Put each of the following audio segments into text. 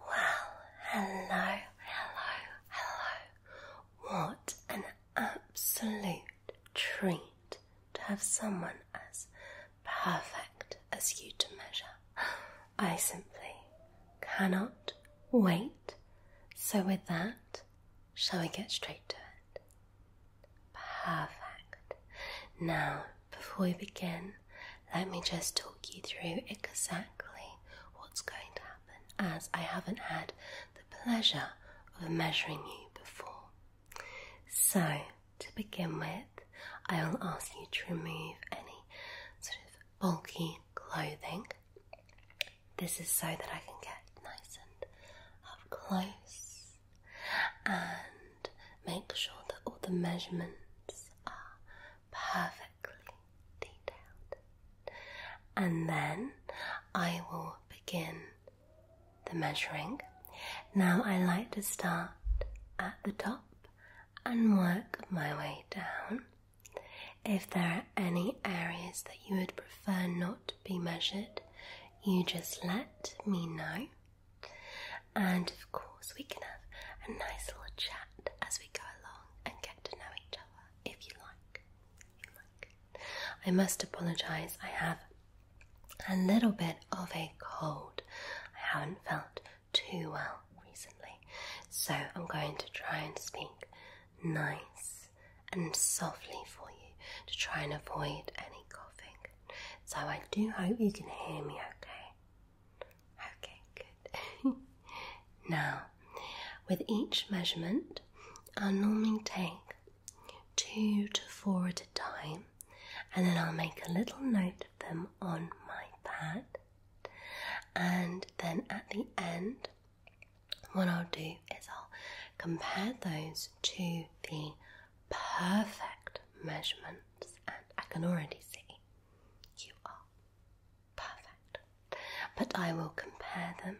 Well, hello, hello, hello. What an absolute treat to have someone as perfect as you to measure. I simply cannot wait. So, with that, shall we get straight to it? Perfect. Now, before we begin, let me just talk you through exactly what's going to happen as I haven't had the pleasure of measuring you before. So, to begin with, I will ask you to remove any sort of bulky clothing. This is so that I can get nice and up close and make sure that all the measurements are perfectly detailed. And then I will begin the measuring. Now I like to start at the top and work my way down. If there are any areas that you would prefer not to be measured, you just let me know and of course, we can have a nice little chat as we go along and get to know each other if you like. If you like. I must apologize, I have a little bit of a cold. I haven't felt too well recently, so I'm going to try and speak nice and softly for you to try and avoid any coughing. So I do hope you can hear me okay. Okay, good. now, with each measurement, I'll normally take two to four at a time, and then I'll make a little note of them on my pad. And then at the end, what I'll do is I'll compare those to the perfect measurements, and I can already see you are perfect. But I will compare them,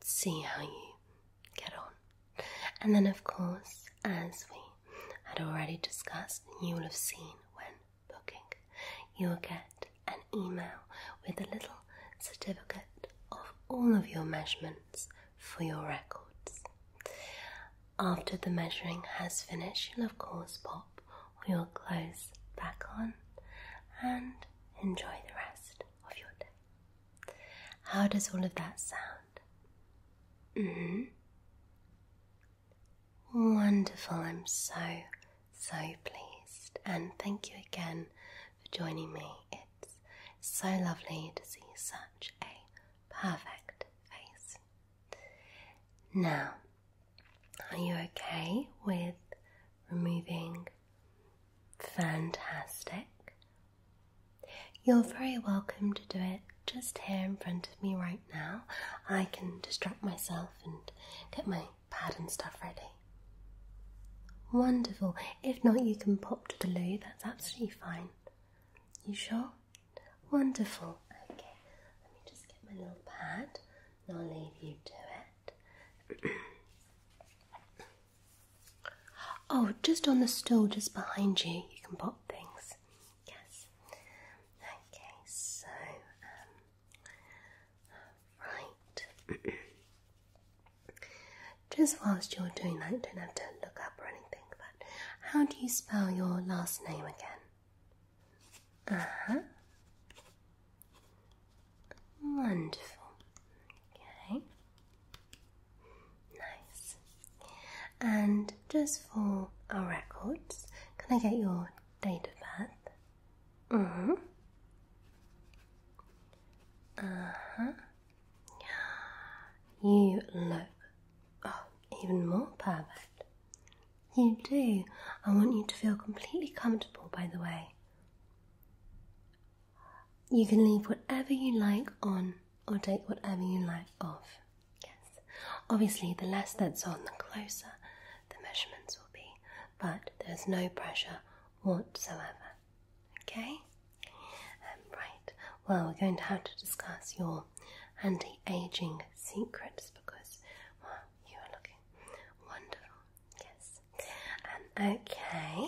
see how you get on. And then, of course, as we had already discussed, you will have seen when booking, you will get an email with a little certificate of all of your measurements for your records. After the measuring has finished, you'll of course pop all your clothes back on and enjoy the rest of your day. How does all of that sound? Mm-hmm. Wonderful, I'm so, so pleased. And thank you again for joining me. It's so lovely to see such a perfect face. Now, are you okay with removing? Fantastic. You're very welcome to do it just here in front of me right now. I can distract myself and get my pad and stuff ready. Wonderful. If not, you can pop to the loo, that's absolutely fine. You sure? Wonderful. Okay, let me just get my little pad and I'll leave you to it. oh, just on the stool just behind you, you can pop things. Yes. Okay, so, um, right. just whilst you're doing that, don't have to look up or anything, but how do you spell your last name again? Uh huh. Wonderful. Okay. Nice. And just for our records, can I get your date of birth? Mm hmm. Uh huh. You look oh, even more perfect. You do. I want you to feel completely comfortable, by the way. You can leave whatever you like on or take whatever you like off. Yes. Obviously, the less that's on, the closer the measurements will be, but there's no pressure whatsoever. Okay? Um, right. Well, we're going to have to discuss your anti-aging secrets because you are looking wonderful. Yes. And okay.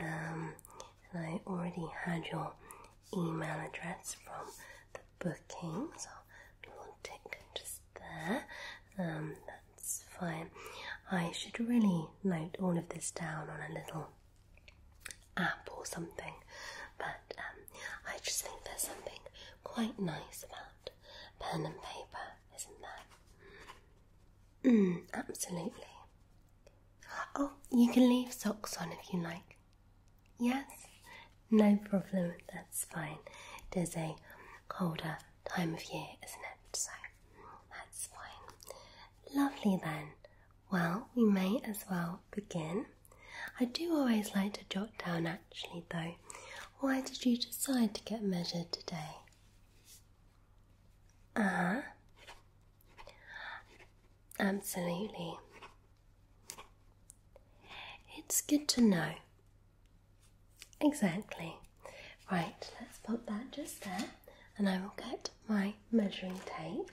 Um, I already had your email address from the booking, so we'll take it just there. Um, that's fine. I should really note all of this down on a little app or something, but um, I just think there's something quite nice about pen and paper, isn't there? Mm, absolutely. Oh, you can leave socks on if you like. Yes, no problem, that's fine. It is a colder time of year, isn't it? So that's fine. Lovely then. Well, we may as well begin. I do always like to jot down actually, though, why did you decide to get measured today? Ah, uh-huh. absolutely. It's good to know. Exactly. Right, let's pop that just there, and I will get my measuring tape.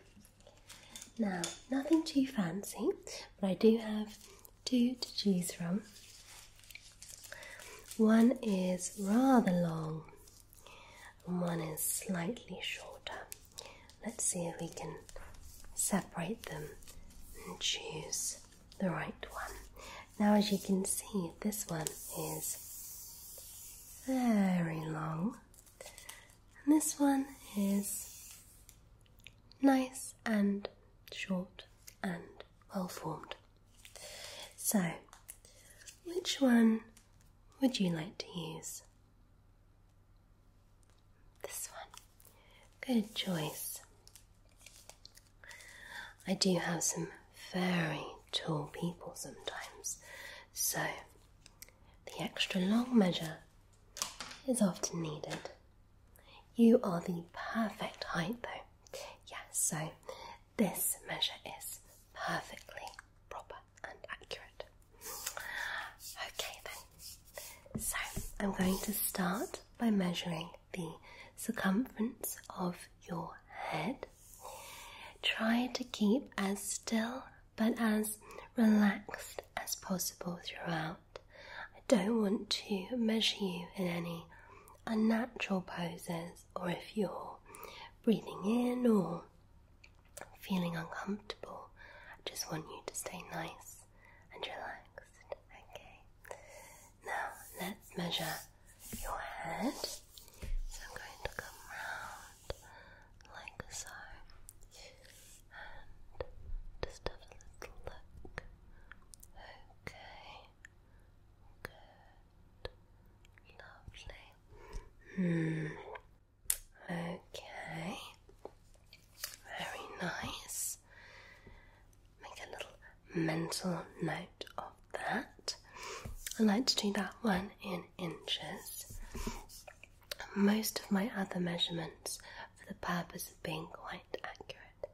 Now, nothing too fancy, but I do have two to choose from. One is rather long, one is slightly shorter. Let's see if we can separate them and choose the right one. Now, as you can see, this one is very long, and this one is nice and short and well formed. So, which one would you like to use? This one. Good choice. I do have some very tall people sometimes, so the extra long measure is often needed. You are the perfect height though. Yeah, so this measure is perfectly proper and accurate. Okay then. So I'm going to start by measuring the circumference of your head. Try to keep as still but as relaxed as possible throughout. I don't want to measure you in any unnatural poses or if you're breathing in or feeling uncomfortable. I just want you to stay nice and relaxed. Okay. Now let's measure your head. So I'm going to come round like so just have a little look. Okay. Good. Lovely. Hmm. Okay. Very nice. Make a little mental note of that. I like to do that one in inches. Most of my other measurements for the purpose of being quite accurate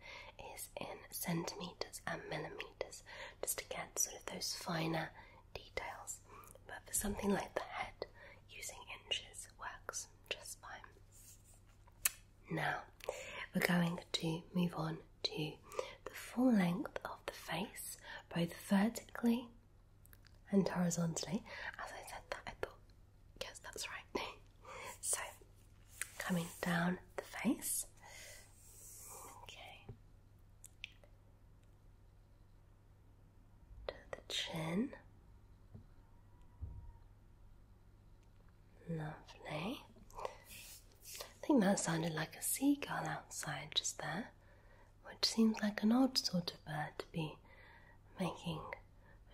is in centimeters and millimeters, just to get sort of those finer details. But for something like the head, using inches works just fine. Now we're going to move on to the full length of the face, both vertically and horizontally. As I said that, I thought Yes, that's right. so, coming down the face. Okay. To the chin. Lovely. I think that sounded like a seagull outside just there, which seems like an odd sort of bird to be making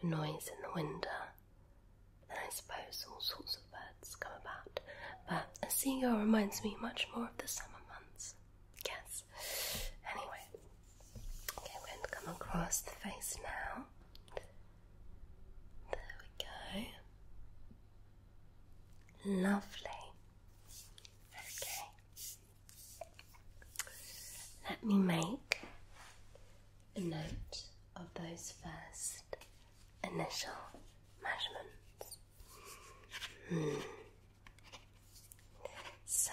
a noise in the window. Then I suppose all sorts of birds come about. But a seagull reminds me much more of the summer months. Guess. Anyway. Okay, wind come across the face now. There we go. Lovely. Okay. Let me make a note of those first initial measurements. Hmm. So,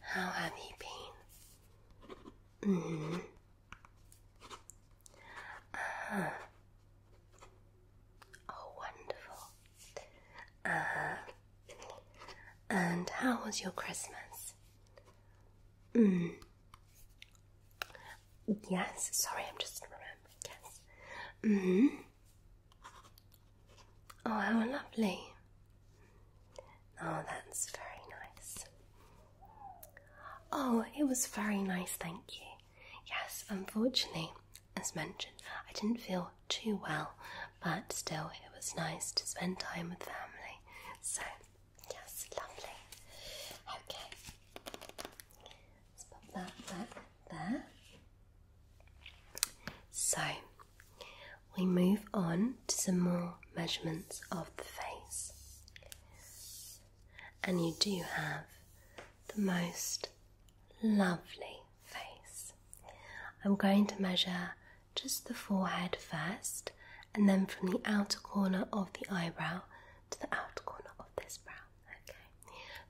how have you been? Mm Oh, wonderful. Uh And how was your Christmas? Mm. Yes, sorry, I'm just remembering. Yes. Mm-hmm. Oh, how lovely. Oh, that's very nice. Oh, it was very nice, thank you. Yes, unfortunately, as mentioned, I didn't feel too well, but still, it was nice to spend time with family. So, Yes, lovely. Okay. Let's pop that back there. So we move on to some more measurements of the face. And you do have the most lovely face. I'm going to measure just the forehead first, and then from the outer corner of the eyebrow to the outer corner of this brow. Okay,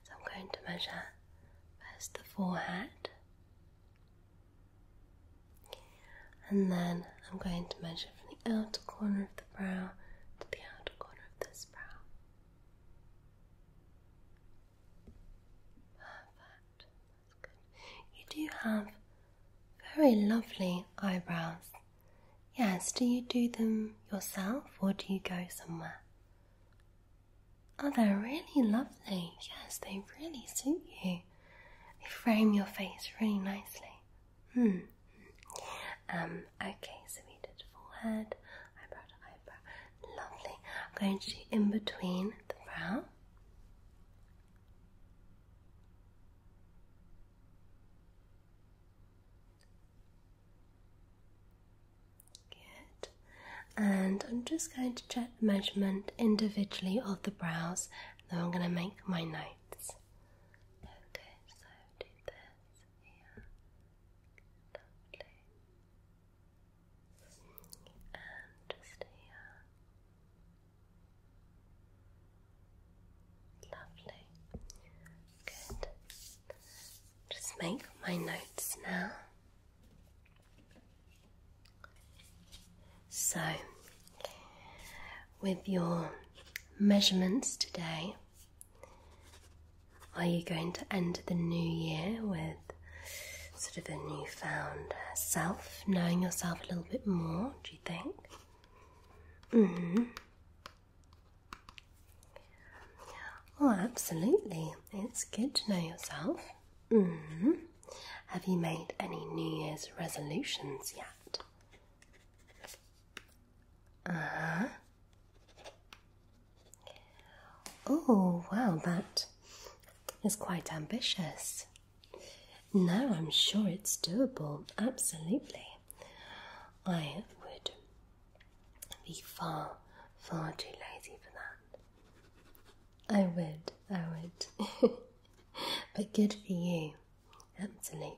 so I'm going to measure first the forehead, and then I'm going to measure from the outer corner of the brow to the outer corner of this brow. You do have very lovely eyebrows. Yes, do you do them yourself or do you go somewhere? Oh, they're really lovely. Yes, they really suit you. They frame your face really nicely. Hmm. Um, okay, so we did forehead, eyebrow eyebrow. Lovely. going to in between the brow. Good. And I'm just going to check the measurement individually of the brows, then I'm going to make my notes. Okay, so do this here. Lovely. And just here. Lovely. Good. Just make my notes now. So, with your measurements today, are you going to end the new year with sort of a newfound self, knowing yourself a little bit more? think? Mm-hmm. Oh, absolutely. It's good to know yourself. mm Have you made any New Year's resolutions yet? uh Oh, wow, that is quite ambitious. No, I'm sure it's doable, absolutely. I would be far, far too lazy for that. I would, I would. but good for you, absolutely.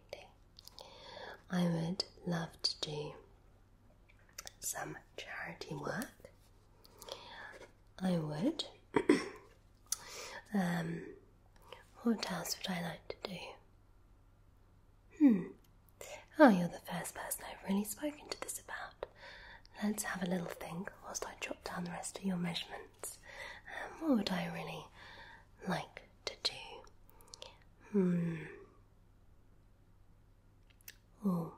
I would love to do some charity work. I would. um, what else would I like to do? Hmm. Oh, you're the first person I've really spoken to this about. Let's have a little think whilst I jot down the rest of your measurements. Um, what would I really like to do? Hmm. Oh,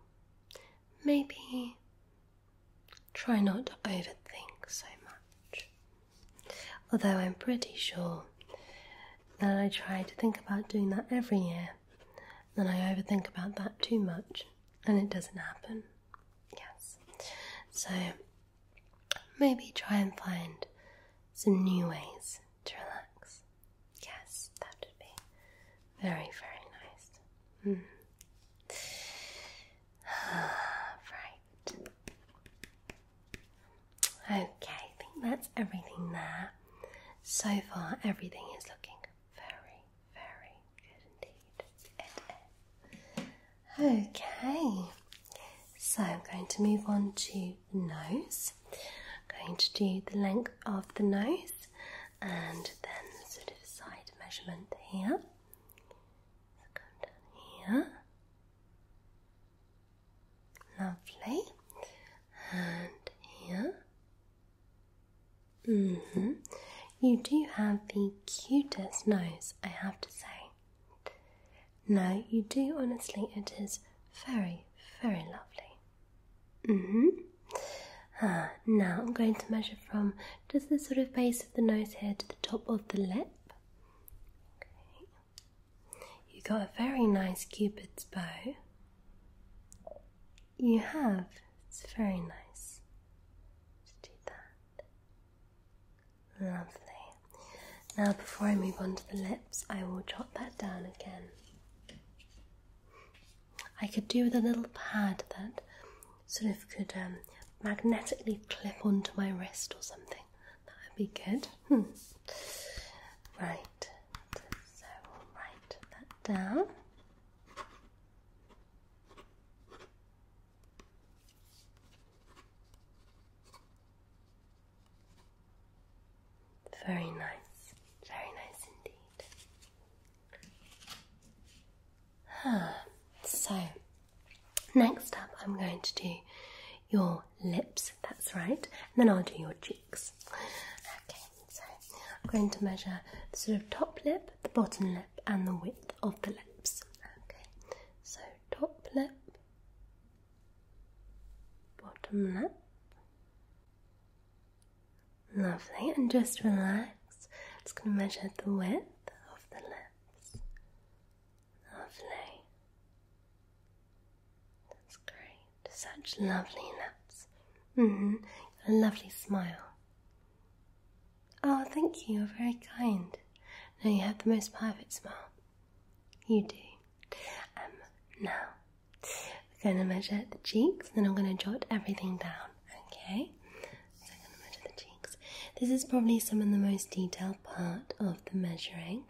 maybe Try not to overthink so much. Although I'm pretty sure that I try to think about doing that every year, then I overthink about that too much and it doesn't happen. Yes. So maybe try and find some new ways to relax. Yes, that would be very, very nice. Hmm. right. Okay, I think that's everything there. So far, everything is looking very, very good indeed. Okay, so I'm going to move on to the nose. I'm going to do the length of the nose and then sort of side measurement here come down here. Lovely. And here. Mm hmm You do have the cutest nose, I have to say. No, you do, honestly, it is very, very lovely. Mm hmm Ah, now I'm going to measure from Does this sort of base the nose hair to the top of the lip. Okay. You got a very nice cupid's bow. You have. It's very nice. Just that. Lovely. Now, before I move on to the lips, I will jot that down again. I could do with a little pad that sort of could um, magnetically clip onto my wrist or something. That would be good. Hmm. Right, so write that down. Very nice, very nice indeed. so, next up, I'm going to do your lips, that's right, and then I'll do your cheeks. Okay, so I'm going to measure the sort of top lip, the bottom lip, and the width of the lips. Okay, so top lip, bottom lip. Lovely, and just relax. Just going to measure the width of the lip. Lovely. That's great. Such lovely lips. hmm A lovely smile. Oh, thank you. You're very kind. No, you have the most perfect smile. You do. Um, now, we're going to measure the cheeks, then I'm going to jot everything down, Okay, so I'm going to measure the cheeks. This is probably some of the most detailed part of the measuring.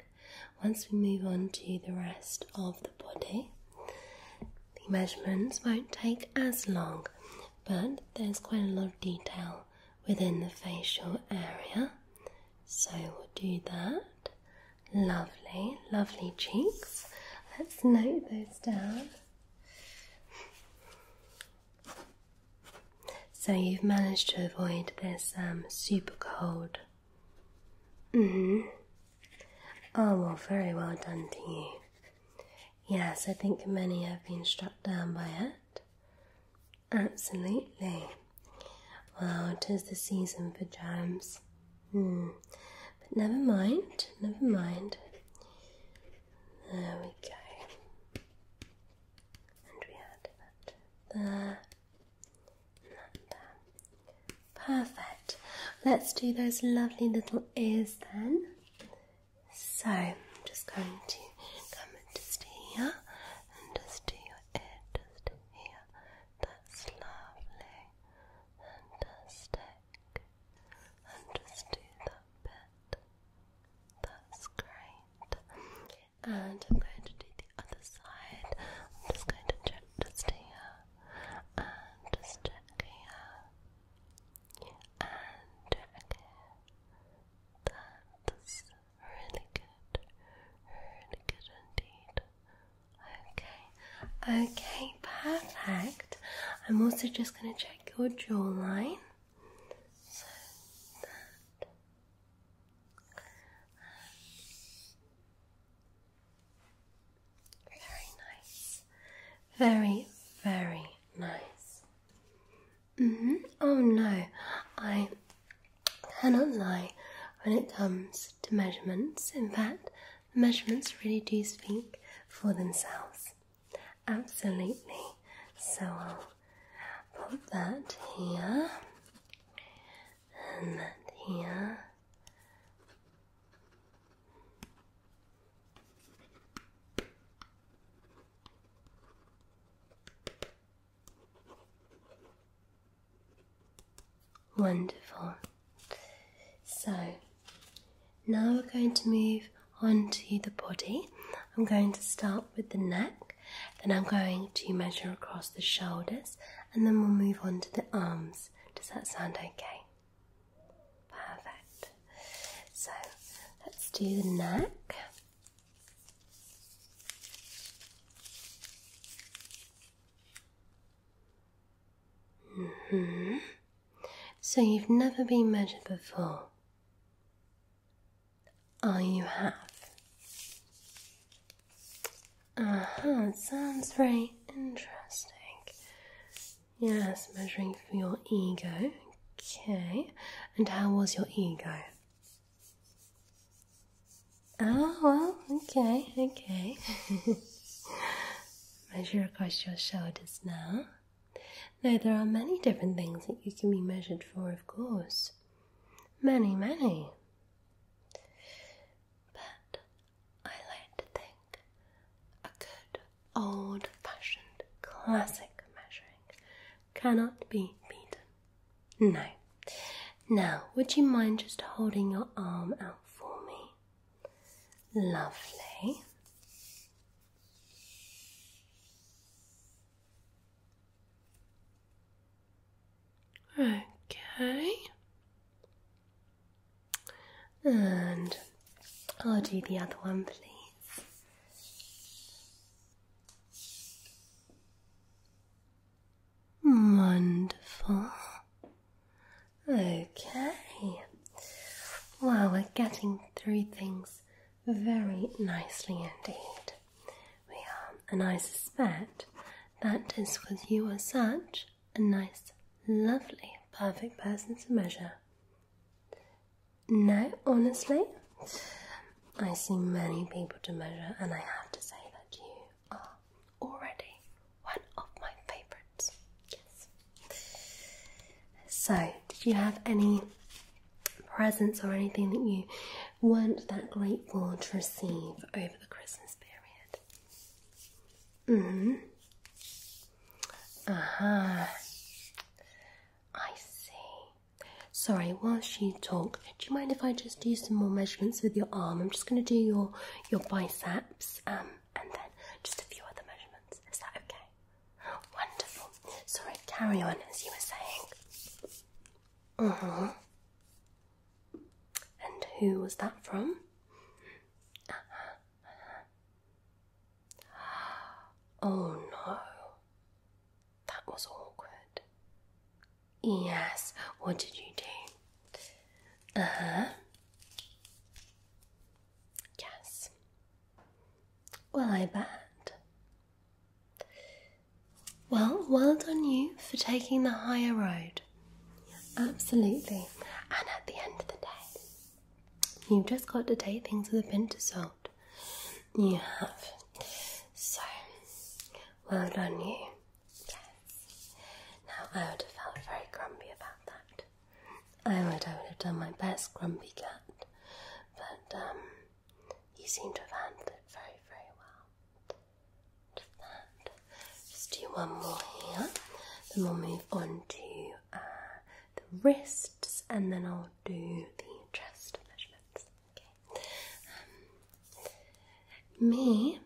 Once we move on to the rest of the body, the measurements won't take as long, but there's quite a lot of detail within the facial area. So we'll do that. Lovely, lovely cheeks. Let's note those down. So you've managed to avoid this um, super cold. Mm-hmm. Oh, well, very well done to you. Yes, I think many have been struck down by it. Absolutely. Well, it is the season for germs. Hmm. But never mind, never mind. There we go and we add that there and that Perfect. Let's do those lovely little ears then. So I'm just going to come just here and just do your ear just here. That's lovely. Fantastic. And just do that bit. That's great. And I'm going to do the other side. I'm just going to check just here. And just check here. And check here. That's really good. Really good indeed. Okay. Okay, perfect. I'm also just going to check your jawline very nice, very, very nice. Mm-hmm. Oh no, I cannot lie when it comes to measurements. In fact, the measurements really do speak for themselves. Absolutely. So I'll put that here and that here. Wonderful. So now we're going to move onto the body. I'm going to start with the neck, then I'm going to measure across the shoulders, and then we'll move on to the arms. Does that sound okay? Perfect. So let's do the neck. -hmm. So you've never been measured before. Oh, you have. Uh huh, sounds very interesting. Yes, measuring for your ego. Okay, and how was your ego? Oh, well, okay, okay. Measure across your shoulders now. Now, there are many different things that you can be measured for, of course. Many, many. But I like to think a good old fashioned classic measuring cannot be beaten. No. Now, would you mind just holding your arm out for me? Lovely. Okay. And I'll do the other one, please. Wonderful. Okay. Wow, we're getting through things very nicely indeed. We are, and I suspect that is because you are such a nice, lovely, perfect person to measure. No, honestly, I see many people to measure, and I have to say that you are already one of my favourites. Yes. So, did you have any presents or anything that you weren't that grateful to receive over the Christmas period. Mm hmm. Aha. Uh-huh. I see. Sorry, while she talks, do you mind if I just do some more measurements with your arm? I'm just going to do your your biceps um, and then just a few other measurements. Is that okay? Wonderful. Sorry, carry on as you were saying. Uh mm-hmm. huh. And who was that from? Uh-huh. Oh no. That was awkward. Yes, what did you do? Uh huh. Yes. Well, I bet. Well, well done you for taking the higher road. Absolutely. And at the end of the day, you've just got to take things with a pinch of salt. You have. So, well done you. Now I would have felt very grumpy about that. Oh, I would, I would have done my best, Grumpy Cat, but um, you seem to have handled it very, very well. Just do one more here, then we'll move on to uh, the wrists, and then I'll do the chest measurements. Um, me,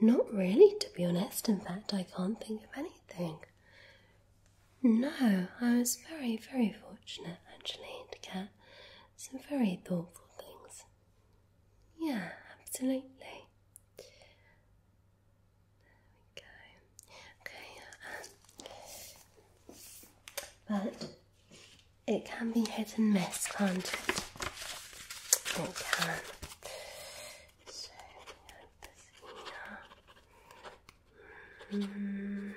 not really, to be honest. In fact, I can't think of anything. No, I was very, very fortunate actually to get some very thoughtful things. Yeah, absolutely. There we go. Okay, um, but it can be hit and miss, can't it? It can. So, we have this here. -hmm.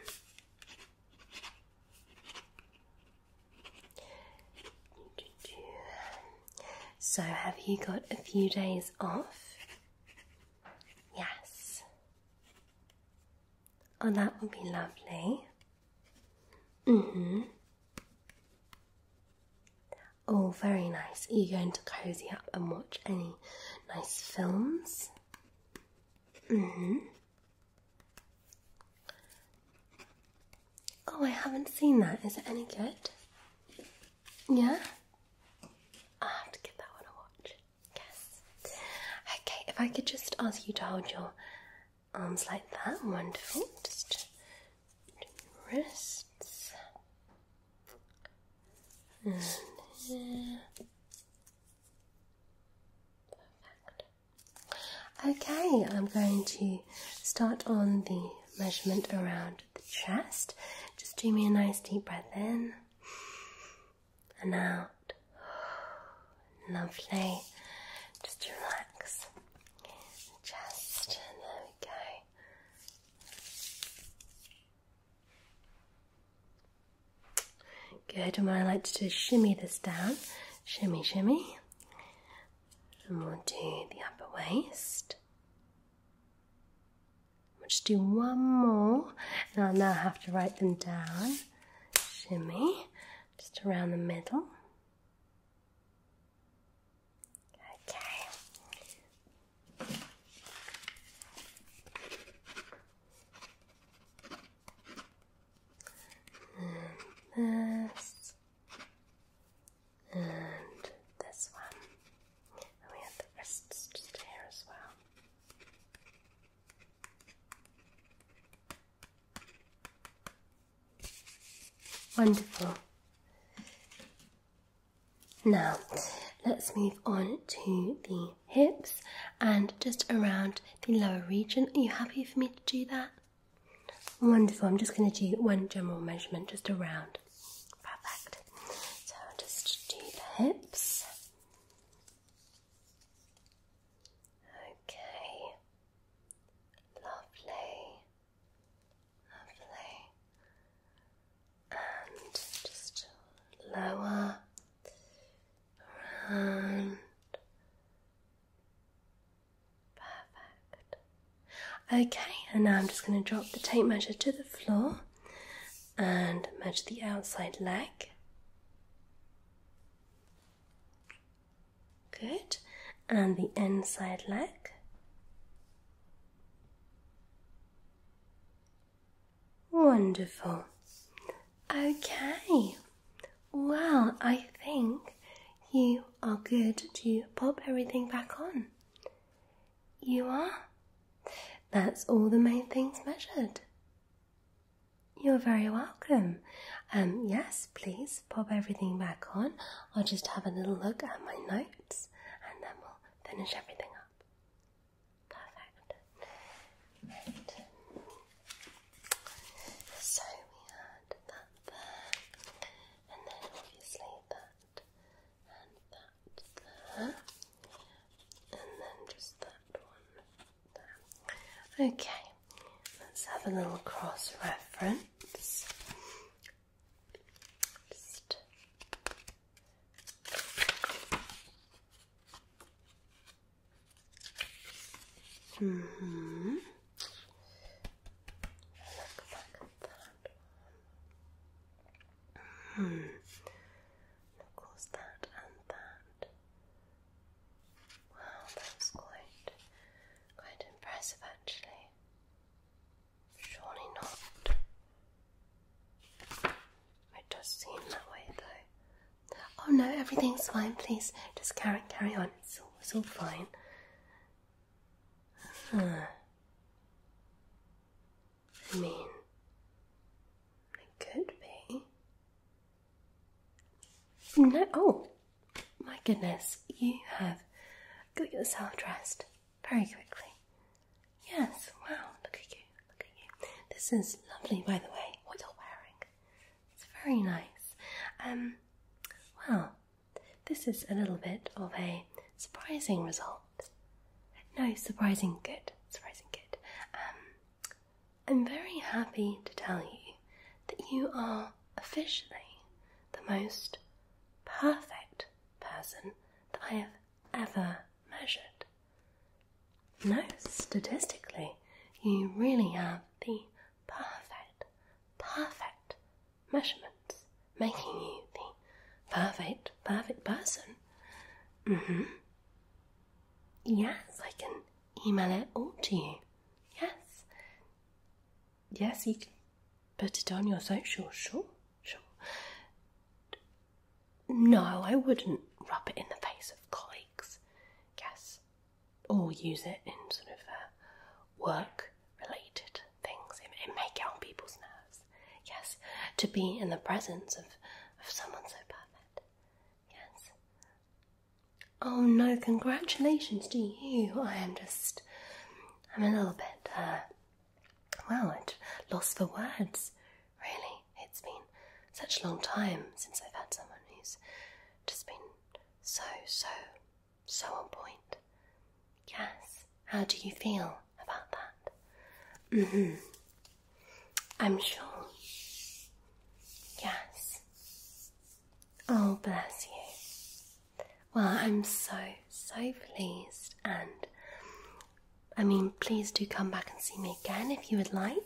So, have you got a few days off? Yes. Oh, that would be lovely. hmm. Oh, very nice. Are you going to cozy up and watch any nice films? Mm-hmm. Oh, I haven't seen that. Is it any good? Yeah? I have to give that one a watch. Yes. Okay, if I could just ask you to hold your arms like that. Wonderful. Just wrists. And Okay, I'm going to start on the measurement around the chest. Just do me a nice deep breath in and out. Lovely. Just relax. Chest. There we go. Good, and what I like to shimmy this down. Shimmy, shimmy. And we'll do the upper waist. We'll to do one more, and I'll now have to write them down. Shimmy, just around the middle. Okay and this, and this one, and we have the wrists here as well. Wonderful. Now, let's move on to the hips and just around the lower region. Are you happy for me to do that? Wonderful. I'm just going to do one general measurement just around. Perfect. So I'll just do the hips. Okay. Lovely. Lovely and just lower around. Perfect. Okay, and now I'm just going to drop the tape measure to the floor and measure the outside leg. Good, and the inside leg. Wonderful. Okay. Well, I think you are good to pop everything back on. You are? That's all the main things measured. You're very welcome. Um, yes, please pop everything back on. I'll just have a little look at my notes and then we'll finish everything up. Perfect. So we had that there, and then obviously that, and that there, and then just that one Okay, let's have a little cross reference hmm. Look back that and that. Wow, that was quite, quite impressive actually. Surely not. I just seem that way though. Oh no, everything's fine. Please just carry carry on. It's all, it's all fine. I mean, it could be. No. Oh, my goodness! You have got yourself dressed very quickly. Yes, wow, look at you, look at you. This is lovely, by the way, what you're wearing. It's very nice. Um, well, this is a little bit of a surprising result. No, surprising good, surprising good. Um, I'm very happy to tell you that you are officially the most perfect person that I have ever measured. No, statistically, you really have the perfect, perfect measurements, making you the perfect, perfect person. hmm Yes, I can email it all to you. Yes. Yes, you can put it on your social, sure, sure. No, I wouldn't rub it in the face of colleagues, yes, or use it in sort of uh, work related things. It, may get on people's nerves, yes, to be in the presence of, someone so perfect, yes. Oh no, congratulations to you. I am just, I'm a little bit, uh, well, lost for words Really, it's been such a long time since I've had someone who's just been so, so, so on point. Yes, how do you feel about that? Mm hmm. I'm sure. Yes. Oh, bless you. Well, I'm so, so pleased and I mean, please do come back and see me again if you would like.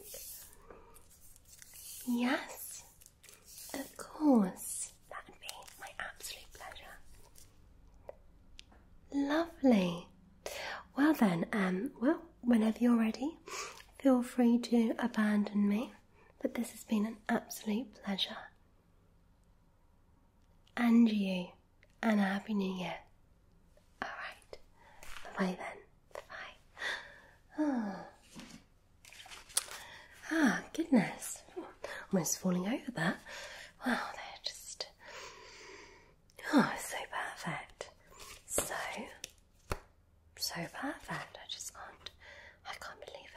Yes, of course, that would be my absolute pleasure. Lovely. Well, then, um, well, whenever you're ready, feel free to abandon me, but this has been an absolute pleasure. And you and a happy new year. Alright. Bye then. Bye. Ah. ah, goodness. Almost falling over that. Wow, they're just. Oh, so perfect. So. So perfect. I just can't. I can't believe it.